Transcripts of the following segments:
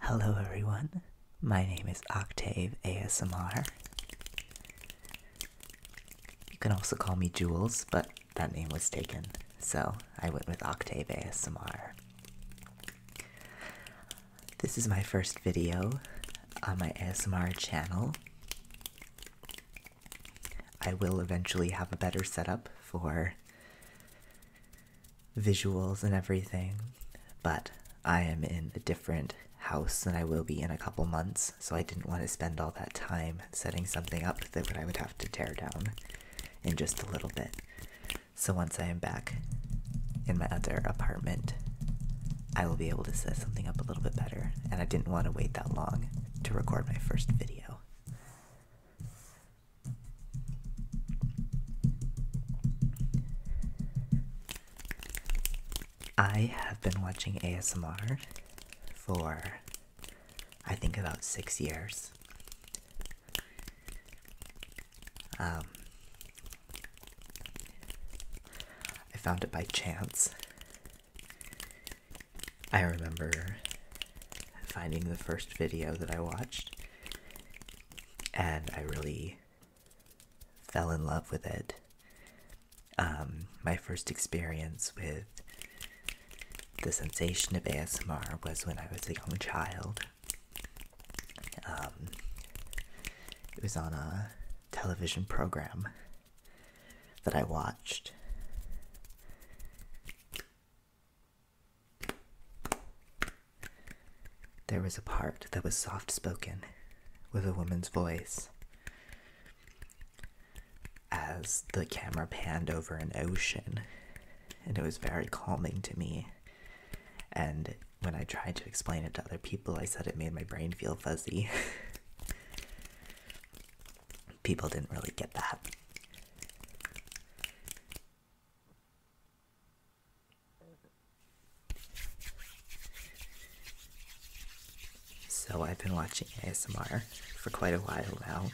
Hello, everyone. My name is Octave ASMR. You can also call me Jules, but that name was taken, so I went with Octave ASMR. This is my first video on my ASMR channel. I will eventually have a better setup for visuals and everything, but I am in a different house than I will be in a couple months, so I didn't want to spend all that time setting something up that I would have to tear down in just a little bit. So once I am back in my other apartment, I will be able to set something up a little bit better, and I didn't want to wait that long to record my first video. I have been watching ASMR for I think about six years. Um, I found it by chance. I remember finding the first video that I watched, and I really fell in love with it. Um, my first experience with the sensation of ASMR was when I was a young child. Um, it was on a television program that I watched. There was a part that was soft spoken with a woman's voice as the camera panned over an ocean, and it was very calming to me. And when I tried to explain it to other people, I said it made my brain feel fuzzy. people didn't really get that. So I've been watching ASMR for quite a while now.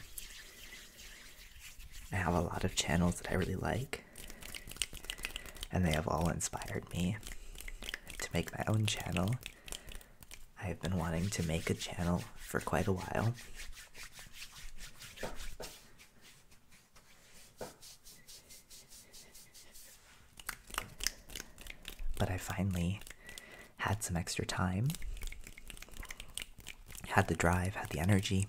I have a lot of channels that I really like, and they have all inspired me to make my own channel. I've been wanting to make a channel for quite a while. But I finally had some extra time, had the drive, had the energy.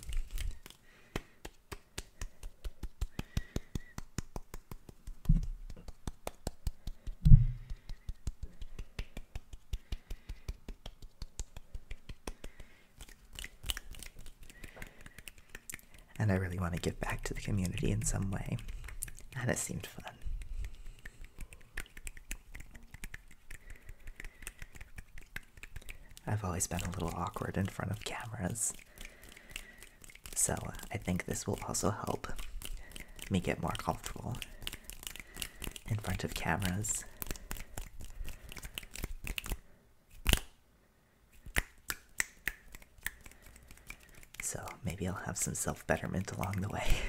And I really want to give back to the community in some way. And it seemed fun. I've always been a little awkward in front of cameras. So I think this will also help make it more comfortable in front of cameras. So maybe I'll have some self betterment along the way.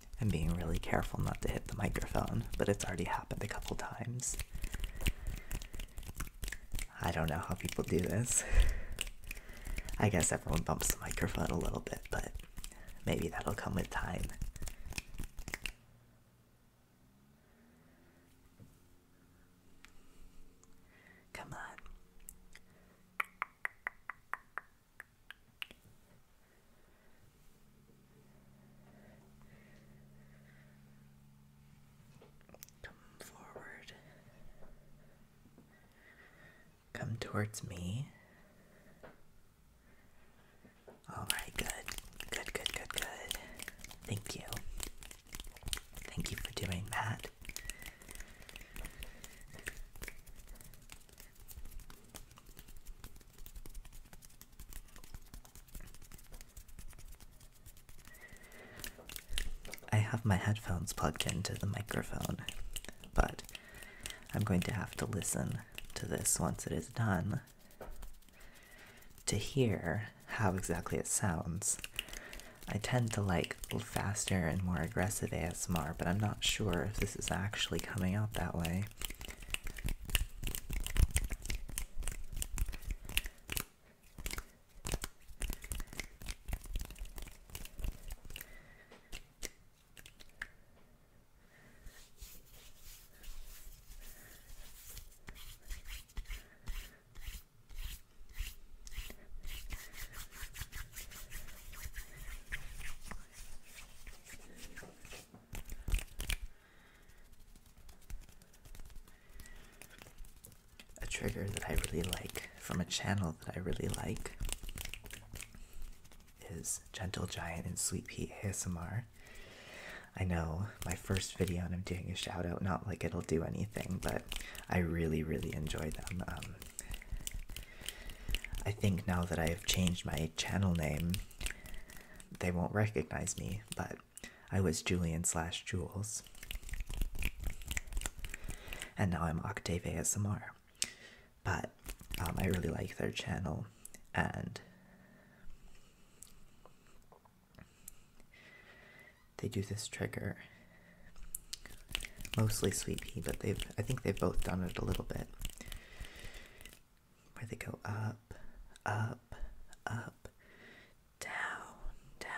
I'm being really careful not to hit the microphone, but it's already happened a couple times. I don't know how people do this. I guess everyone bumps the microphone a little bit, but maybe that'll come with time. Come on. Come forward. Come towards me. All right, good. Good, good, good, good. Thank you. Thank you for doing that. I have my headphones plugged into the microphone, but I'm going to have to listen to this once it is done to hear how exactly it sounds. I tend to like faster and more aggressive ASMR, but I'm not sure if this is actually coming out that way. A trigger that I really like from a channel that I really like is Gentle Giant and Sweet Pea ASMR. I know my first video and I'm doing a shout out, not like it'll do anything, but I really, really enjoy them. Um, I think now that I have changed my channel name, they won't recognize me, but I was Julian slash Jules. And now I'm Octave ASMR. But um, I really like their channel and they do this trigger. Mostly sweet pea, but they've I think they've both done it a little bit where they go up, up, up, down, down,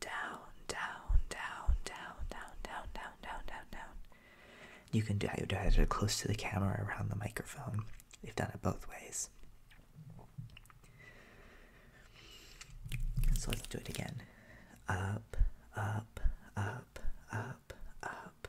down, down, down, down, down, down, down, down, down, down. You can do either close to the camera or around the microphone. We've done it both ways. So let's do it again. Up, up, up, up, up,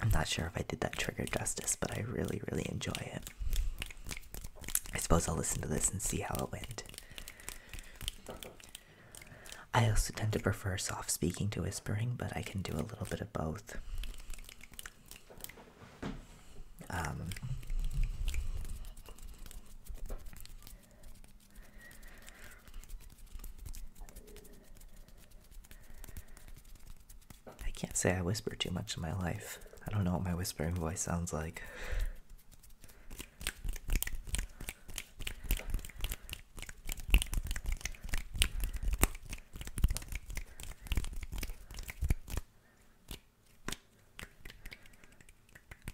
I'm not sure if I did that trigger justice, but I really, really enjoy it. I suppose I'll listen to this and see how it went. I also tend to prefer soft speaking to whispering, but I can do a little bit of both. Um, I can't say I whisper too much in my life. I don't know what my whispering voice sounds like.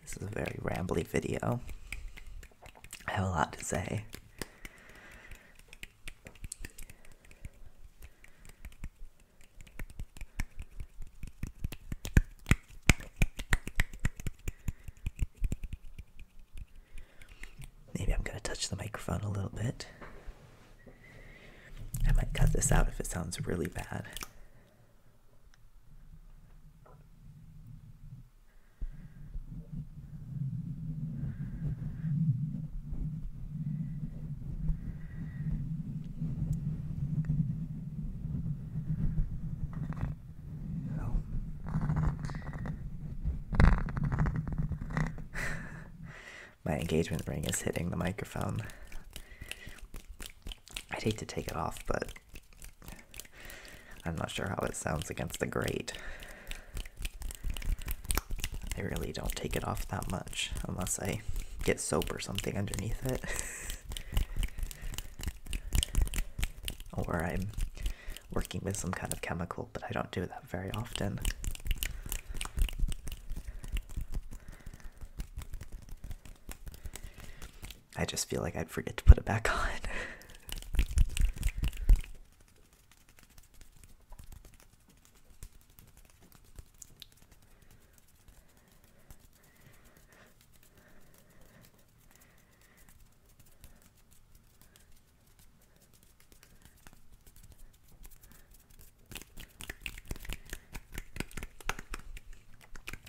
This is a very rambly video. I have a lot to say. Maybe I'm going to touch the microphone a little bit. I might cut this out if it sounds really bad. My engagement ring is hitting the microphone. I'd hate to take it off, but I'm not sure how it sounds against the grate. I really don't take it off that much unless I get soap or something underneath it. or I'm working with some kind of chemical, but I don't do that very often. I just feel like I'd forget to put it back on.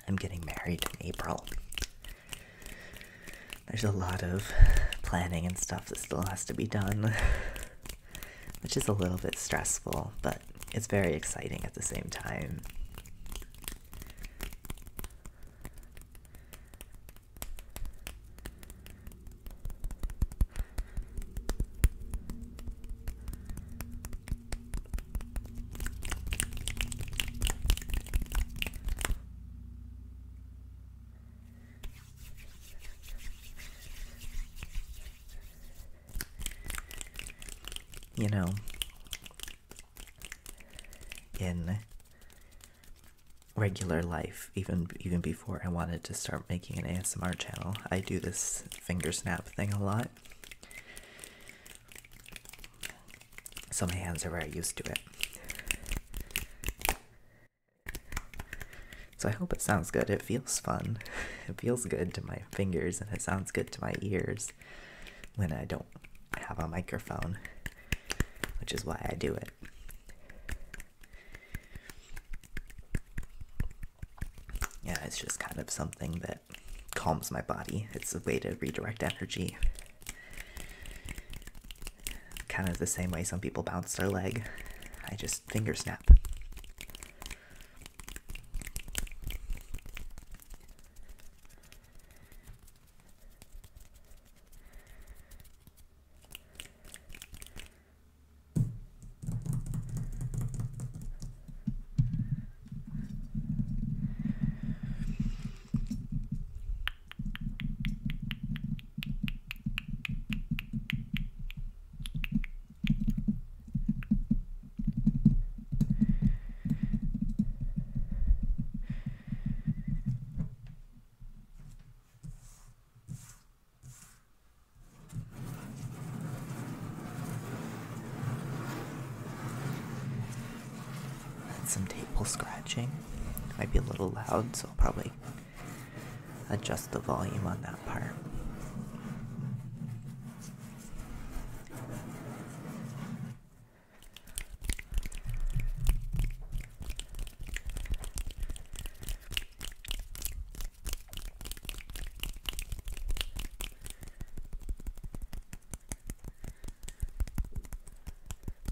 I'm getting married in April. There's a lot of planning and stuff that still has to be done, which is a little bit stressful, but it's very exciting at the same time. You know, in regular life, even even before I wanted to start making an ASMR channel, I do this finger snap thing a lot so my hands are very used to it. So I hope it sounds good. It feels fun. It feels good to my fingers and it sounds good to my ears when I don't have a microphone, which is why I do it. Yeah, it's just kind of something that calms my body. It's a way to redirect energy. Kind of the same way some people bounce their leg. I just finger snap. That's some table scratching might be a little loud, so I'll probably adjust the volume on that part.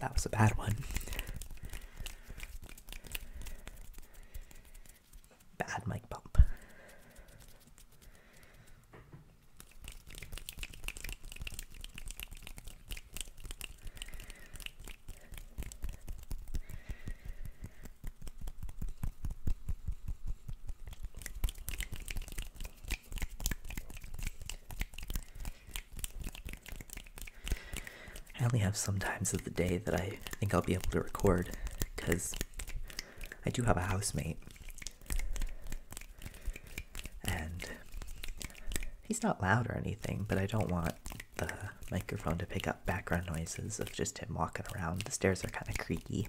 That was a bad one. Bad mic bump. I only have some times of the day that I think I'll be able to record because I do have a housemate. And he's not loud or anything, but I don't want the microphone to pick up background noises of just him walking around. The stairs are kind of creaky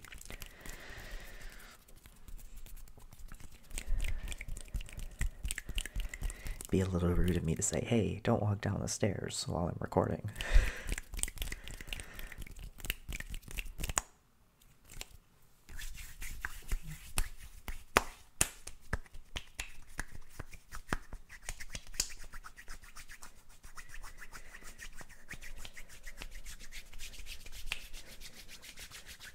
be a little rude of me to say, hey, don't walk down the stairs while I'm recording.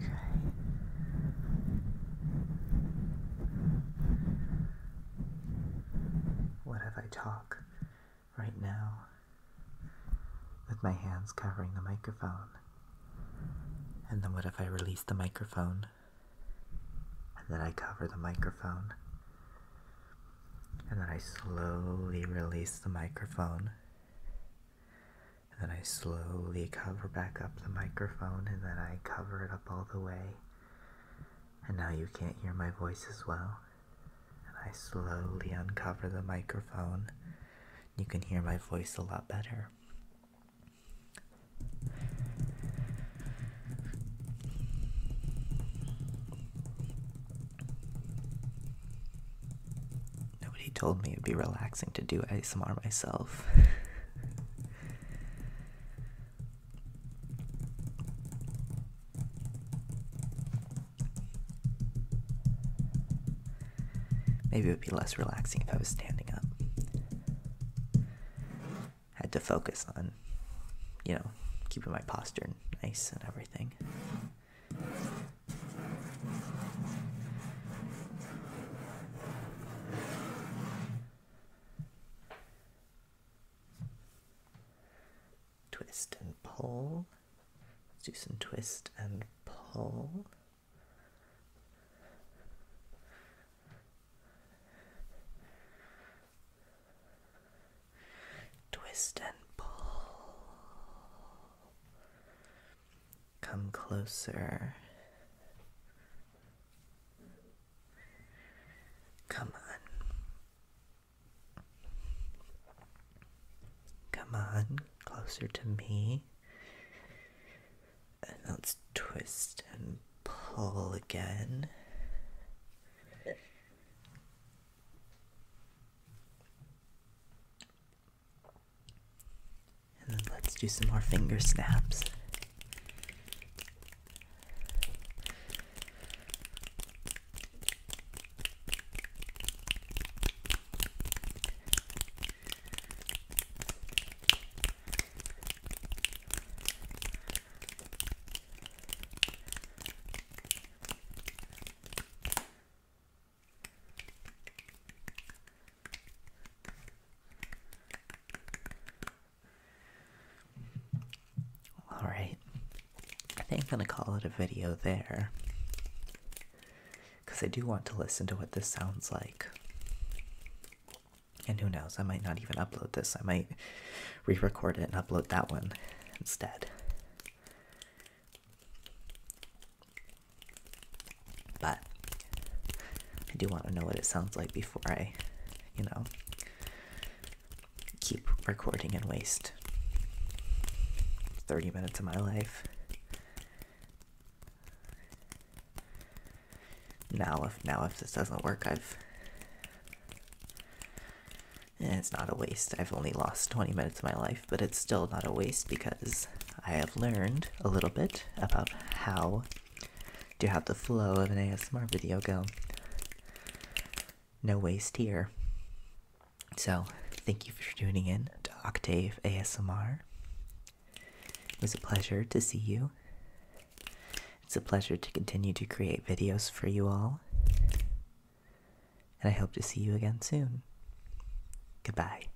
Okay. What if I talk right now with my hands covering the microphone? And then what if I release the microphone? And then I cover the microphone. And then I slowly release the microphone. And then I slowly cover back up the microphone and then I cover it up all the way. And now you can't hear my voice as well. And I slowly uncover the microphone. You can hear my voice a lot better. Nobody told me it'd be relaxing to do ASMR myself. Maybe it would be less relaxing if I was standing up. Had to focus on, you know, keeping my posture nice and everything. Twist and pull. Let's do some twist and pull. Twist and pull. Come closer. Come on. Come on, closer to me. And let's twist and pull again. And then let's do some more finger snaps. Alright, I think I'm gonna call it a video there. Because I do want to listen to what this sounds like. And who knows, I might not even upload this. I might re record it and upload that one instead. But I do want to know what it sounds like before I, you know, keep recording and waste 30 minutes of my life. Now if now if this doesn't work, I've eh, it's not a waste. I've only lost 20 minutes of my life, but it's still not a waste because I have learned a little bit about how to have the flow of an ASMR video go. No waste here. So, thank you for tuning in to Octave ASMR. It was a pleasure to see you. It's a pleasure to continue to create videos for you all. And I hope to see you again soon. Goodbye.